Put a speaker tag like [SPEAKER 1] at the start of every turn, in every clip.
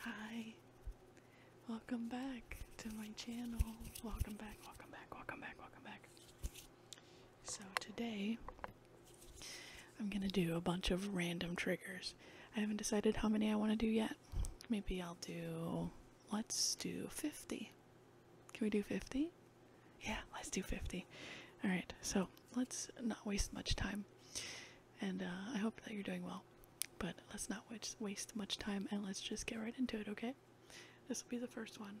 [SPEAKER 1] Hi, welcome back to my channel. Welcome back, welcome back, welcome back, welcome back. So, today I'm gonna do a bunch of random triggers. I haven't decided how many I want to do yet. Maybe I'll do, let's do 50. Can we do 50? Yeah, let's do 50. Alright, so let's not waste much time and uh, I hope that you're doing well. But let's not waste much time and let's just get right into it, okay? This will be the first one.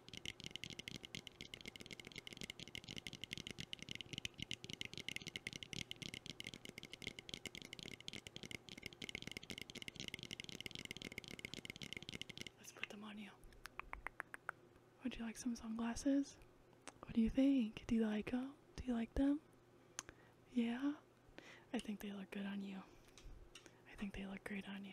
[SPEAKER 1] Let's put them on you. Would you like some sunglasses? What do you think? Do you like them? Do you like them? Yeah? I think they look good on you. I think they look great on you.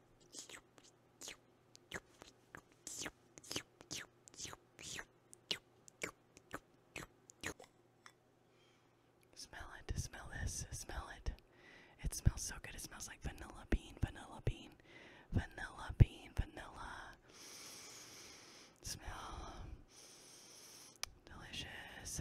[SPEAKER 1] Smell it, smell this, smell it. It smells so good. It smells like vanilla bean, vanilla bean, vanilla bean, vanilla. Smell delicious.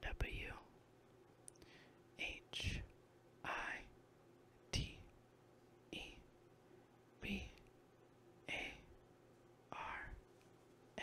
[SPEAKER 1] W H I T E B A R N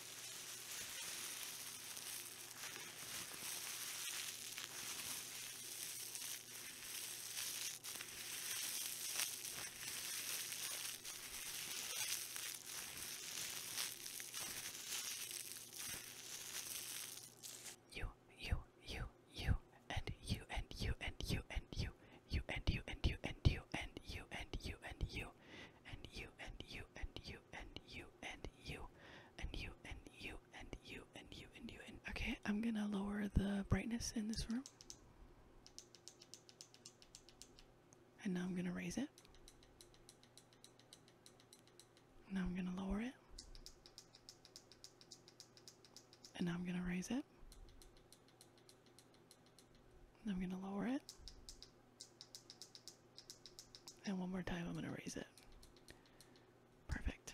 [SPEAKER 1] You, you, you, you, and you, and you, and you, and you, you, and you, and you, and you, and you, and you, and you, you and you and you and you and you and you and you and you and you and you and you and okay, I'm gonna lower the brightness in this room. And now I'm gonna raise it. Now I'm gonna lower it. And now I'm gonna raise it. I'm going to lower it. And one more time, I'm going to raise it. Perfect.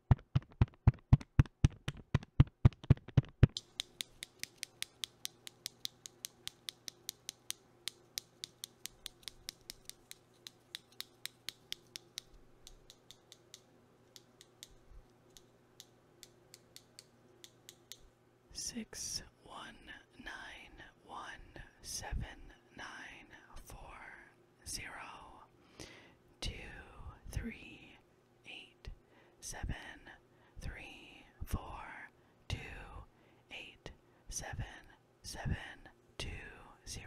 [SPEAKER 1] Six one nine one seven nine four zero two three eight seven three four two eight seven seven two zero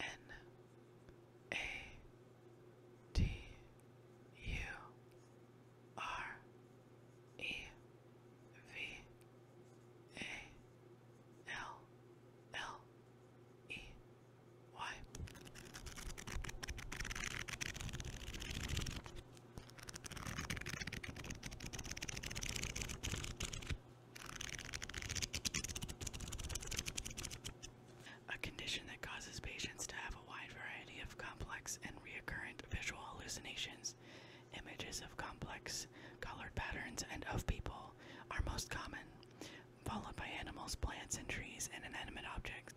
[SPEAKER 1] N A T U R E V A L L E Y a condition that causes patients to have a wide variety of complex and recurrent visual hallucinations. Images of complex colored patterns and of people are most common, followed by animals, plants, and trees, and inanimate objects.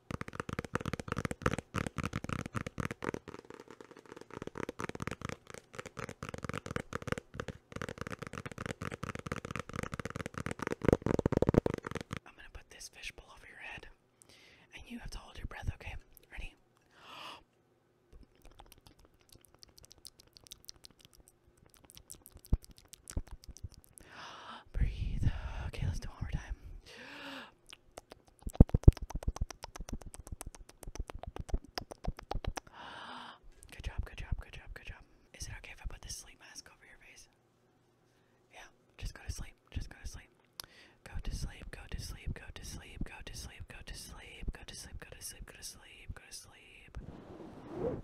[SPEAKER 1] I'm gonna put this fishbowl over your head, and you have to hold your breath, okay? Ready? Breathe. Okay, let's do one more time. Good job, good job, good job, good job. Is it okay if I put this sleep mask over your face? Yeah, just go to sleep. Just go to sleep, go to sleep, go to sleep, go to sleep, go to sleep, go to sleep, go to sleep, go to sleep. Go to sleep.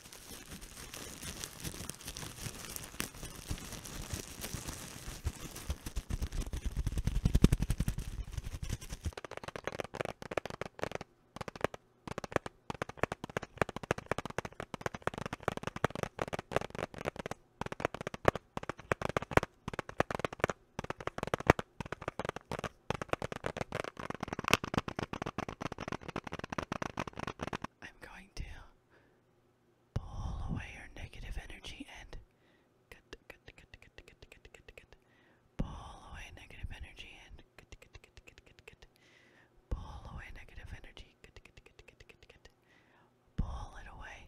[SPEAKER 1] I'm going to Pull away your negative energy and pull away negative energy and pull away negative energy. Pull it away.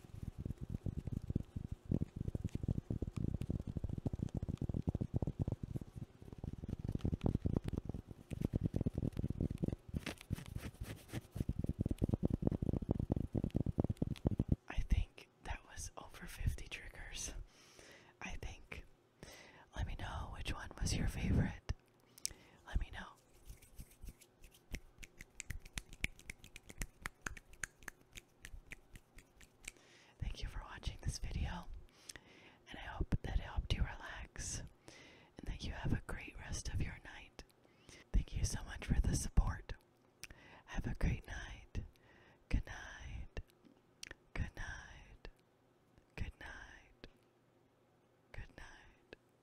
[SPEAKER 1] I think that was over 50 triggers. I think. Let me know which one was your favorite. Let me know. Thank you for watching this video, and I hope that helped you relax and that you have a great rest of your night. Thank you so much for the support. Have a great night. Good night. Good night. Good night. Good night.